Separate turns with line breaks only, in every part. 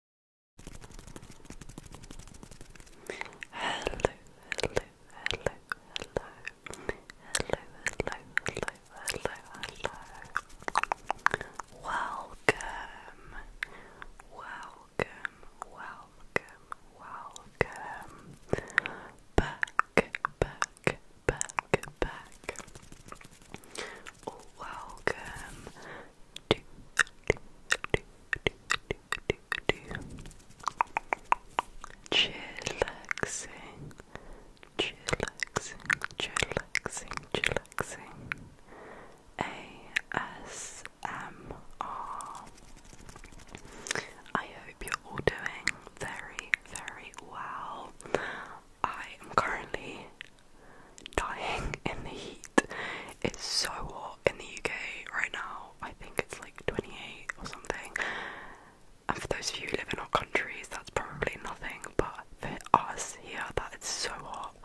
hello, hello, hello, hello, hello, hello, hello, hello. Welcome, welcome, welcome, welcome. Back, back, back, back welcome to, to, to, to, to, to, to chillaxing, chillaxing, chillaxing, chillaxing, ASMR. hope you're all doing
very, very well. I am currently dying in the heat. It's so hot in the UK right now. I think it's like 28 or something. And for those of you who live in our countries, that's probably nothing, but for us here, that is so hot.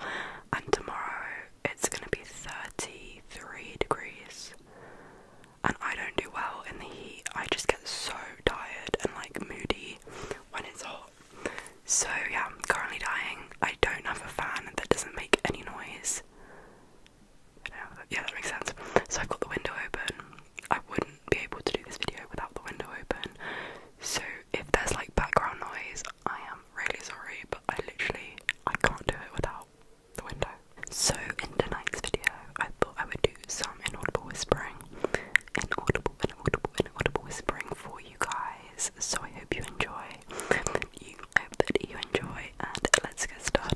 And tomorrow, it's gonna be 33 degrees. And I don't do well in the heat. I just get so tired and like moody when it's hot. So yeah, I'm currently dying. I don't have a fan that doesn't make any noise. Yeah, that makes sense. So I've got the window open. I wouldn't be able to do this video without the window open. So if there's like background noise, I am really sorry, but I literally I can't do it without the window. So in tonight's video, I thought I would do some inaudible whispering, inaudible, inaudible, inaudible whispering for you guys. So I hope you enjoy. You hope that you enjoy, and let's get started.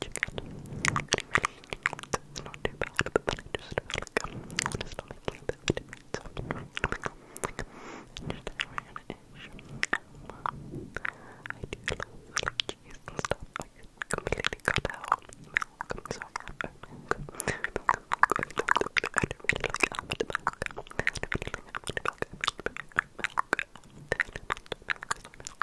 chicken. It's not too bad, but then I just feel like I'm honest, like a bit of a difference. Just around ish. I do love like cheese and stuff. I could completely cut out milk. I'm sorry, I have milk. I don't really like almond milk. I don't really like almond milk. I really like almond milk. I really like almond milk. I really like almond milk.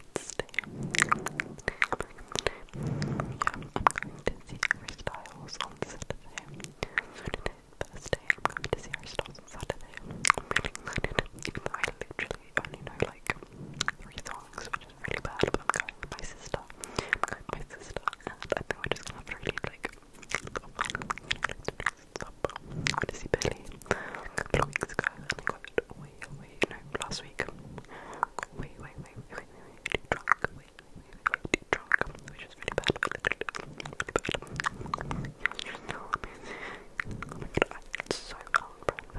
I'm going to see her styles on Saturday. I'm going to see her styles on Saturday. literally only know like three songs, which is really bad. But I'm going with my sister. I'm going with my sister, I think we're just gonna really like. Up. I went to see Billy a couple weeks ago and I got way wait, no, last week. Wait, wait, wait, wait, wait, wait, too drunk. Wait, wait, wait, wait, too drunk. Which is really bad. Really bad. Oh my god, I get so out of breath.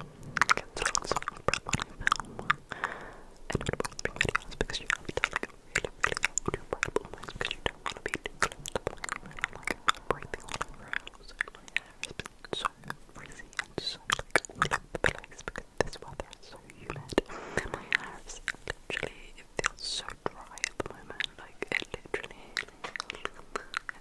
I get so out of breath when I film. And I'm filming videos because you have to like really, really out of breath almost because you don't want to be too close to the microphone. I'm like breathing all over. So my hair is so freezing and so like all over the place because this weather is so humid. And my hair is literally it feels so dry at the moment. Like it literally,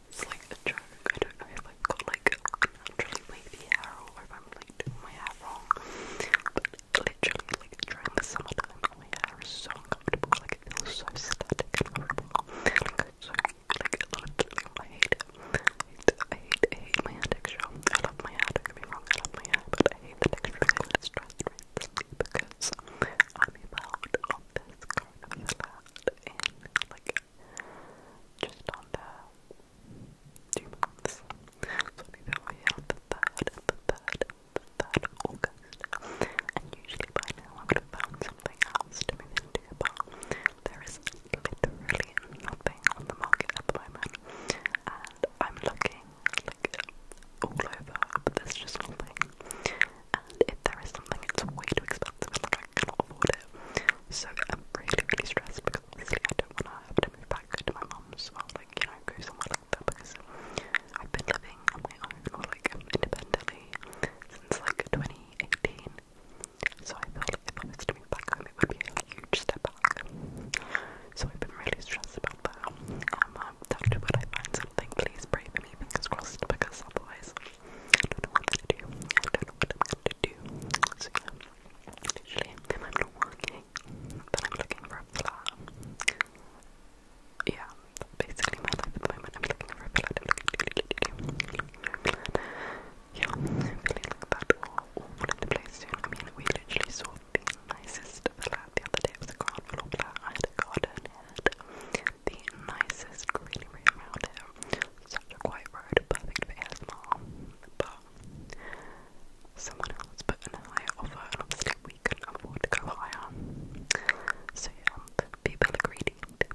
it's like a joke. I don't know if I've got like naturally wavy hair or if I'm like doing my hair wrong. But literally, like during the summertime, my hair is so uncomfortable. Like it feels so static and horrible. Like, so like, I love I hate it. I hate, I hate my hair texture. I love my hair, don't get me wrong, I love my hair, but I hate the texture of this dress recently because I'm about on this kind of salad in, like, just under two months. So maybe I'll be out the third, the third, the third August. And usually by now I would have found something else to move in there is literally nothing on the market at the moment. And I'm looking like all over, but just nothing. And if there is something, it's way too expensive and like, I cannot afford it. So I'm really, really stressed because obviously I don't want to have to move back to my mum's or like, you know, go somewhere like that because I've been living on my own or like independently since like 2018 so I felt like if I was coming back home, it would be a huge step back. So I've been really stressed about that. Um, i Um, um, Doctor, would I find something? Please pray for me, fingers crossed, because otherwise, I don't know what to do. I don't know what I'm going to do. So yeah, literally, if I'm not working, then I'm looking for a flat. Yeah, basically my life at the moment. I'm looking for a flat. Yeah, I'm feeling like that all, all the place I mean, we literally saw the nicest flat the other day. It was a grand flat. I had garden. had the nicest greenery around Such a quiet road, perfect for ASMR. But someone else put in higher offer, and obviously we couldn't afford to go higher. So yeah, people are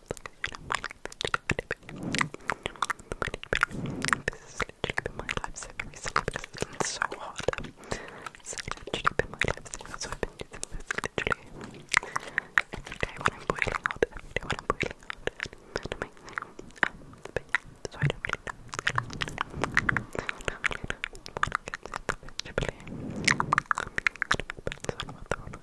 This has literally been my lifesaver recently because it's been so hot. It's literally been my lifesaver, so I've been using this literally every day when I'm boiling hot, every day when I'm boiling hot. And amazing. Um, but yeah, so I don't really know. I don't really know what it is, but it's really. I don't know about the one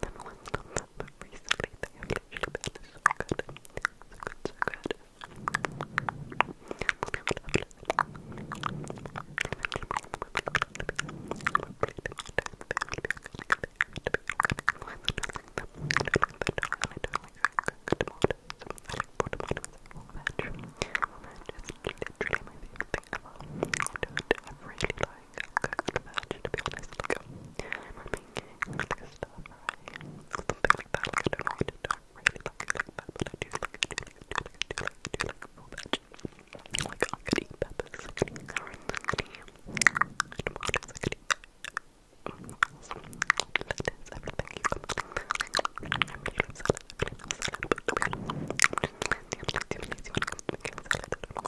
them once on them, but recently they have literally been so good. So good, so good. I don't have really like imagine, to be honest. Like, um, I'm making like stuff, right? Something like that. Like, I don't know, I don't really like it like that, but I do like it. I do like it. I do like it. I do like full veg. Like, I could eat peppers, I could eat carrots, I could eat tomatoes, I could eat lettuce, everything you come up with. I really love salad, I really love salad, but to be honest, I'm just lazy. I'm lazy when it comes to making salad. I don't know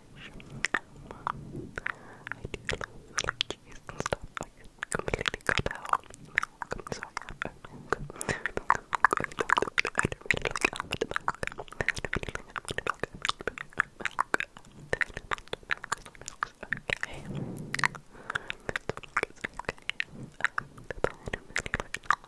ish. I do love cheese and stuff. I completely cut out milk. I'm sorry, I have milk. I don't really like almond milk. I don't really like almond milk. Okay. Milk is okay. Um, the banana really like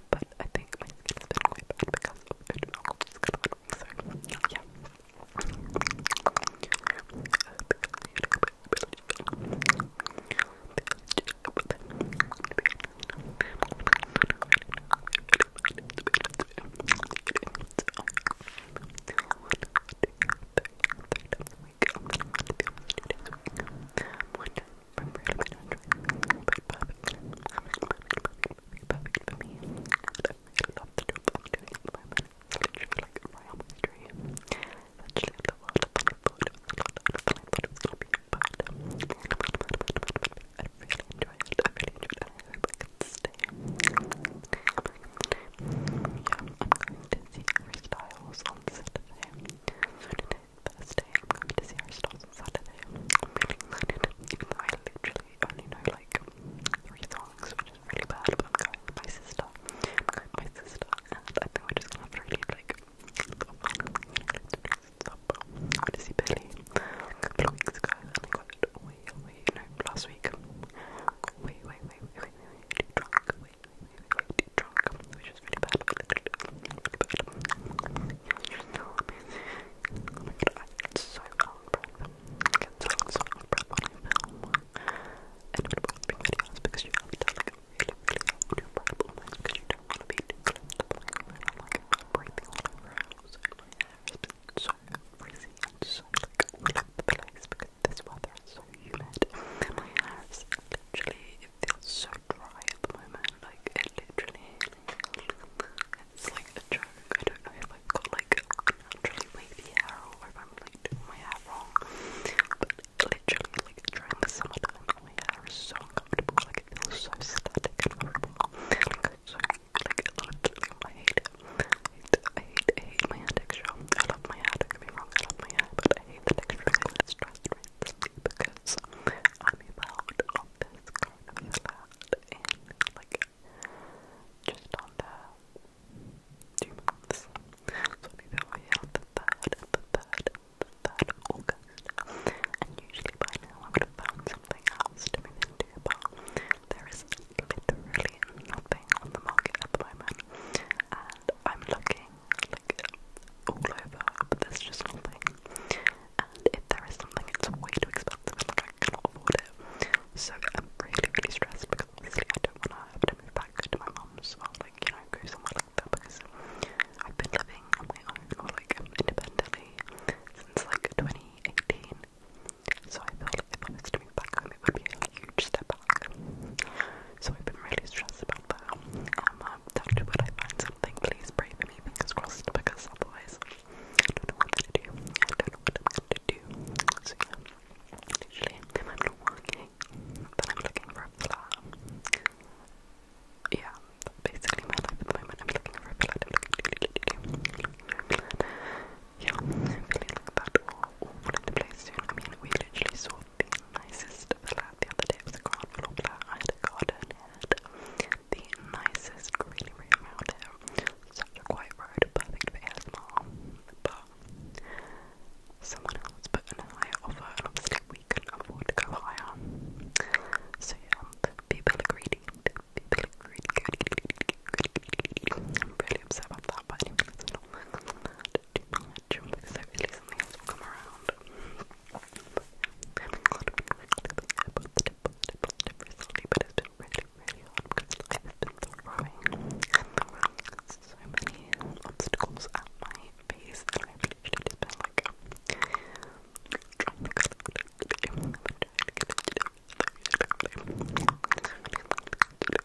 but I think my skin has been quite bad because of food and yeah perfect for really love the I'm doing at the moment. It's literally like right on my dream. Actually, the world of funny food. I thought it was going to be fun. I really enjoy it. I really enjoy it. I hope I can stay. I'm going to see Harry Styles on Saturday. So Thursday. I'm going to see Aristotle's on Saturday. I'm really excited, I literally only know like three songs, which is really bad. But i my sister. my sister, I think we just going really like. I to see Billy a couple weeks ago, and I no, last week. Got way, way, way, way, way, way drunk. Way, way, way, way, drunk, which was Really bad. Oh my god, I get so out of breath. I get so, out of breath when I film editable videos because you have to like really, really hold your breath almost because you don't want to be too close to the microphone. I'm like breathing all over the house and my so frizzy and so because this weather is so humid. my hair is literally it feels so dry at the moment. Like it literally, it's like a I don't know if I've got like naturally wavy hair or if I'm doing my hair wrong. But literally, like during the summertime, my hair is so uncomfortable. Like it feels so static so like literally, I hate it. I hate, I hate, I hate my hair texture. I love my hair. Don't get wrong. I love my hair, but I hate the texture. It's stressful because I'm about on this kind of flat in like just under two months. So maybe I'll be the third, the third, the third August. And usually by now I have found something else to move into, but there is literally nothing on the market at the moment. And I'm looking like all over, there's just nothing. And if there is something, it's way too expensive like I cannot afford it. So I'm really, really stressed because I don't want to have to move back to my mom's. I'm like, you know, go somewhere like that because I've been living on my own like independently since like 2018. So I feel like if I was to move back home, it would be a huge step back. So I've been really stressed about though. Um, um, after what I find something, please pray for me, fingers crossed, because otherwise, I don't know what I'm gonna do. I don't know what I'm gonna do. So yeah, I'm not working, I'm looking for a Yeah, basically my life at the I'm looking for a flower. Yeah, I'm feeling like the place soon. I mean, we literally saw the nicest the other day. was a ground floor flat. I a garden. the nicest green room out here. Such a quiet road, perfect for ASMR. But someone else put in a higher offer, obviously we could afford to go higher. So yeah, people are greedy. People are greedy. greedy, greedy, greedy, am really upset about that, but do not something else will around. But having a lot of fun about the tip, tip, tip but it's been really, really hard because life has so many obstacles at my face and I've literally just been like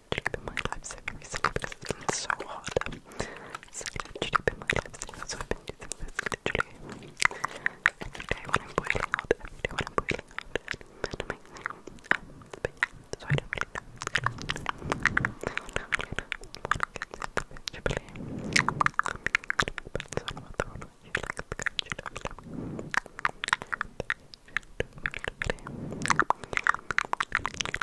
literally been my lifesaver recently because it's been so hot. It's literally been my lifesaver, so I've been using this literally every day when I'm boiling hot, every day when I'm boiling hot. And it makes me, um, but yeah, so I don't really know. I don't really know what it gets eventually. But it's all about the one you like the kind you don't like. But you don't really.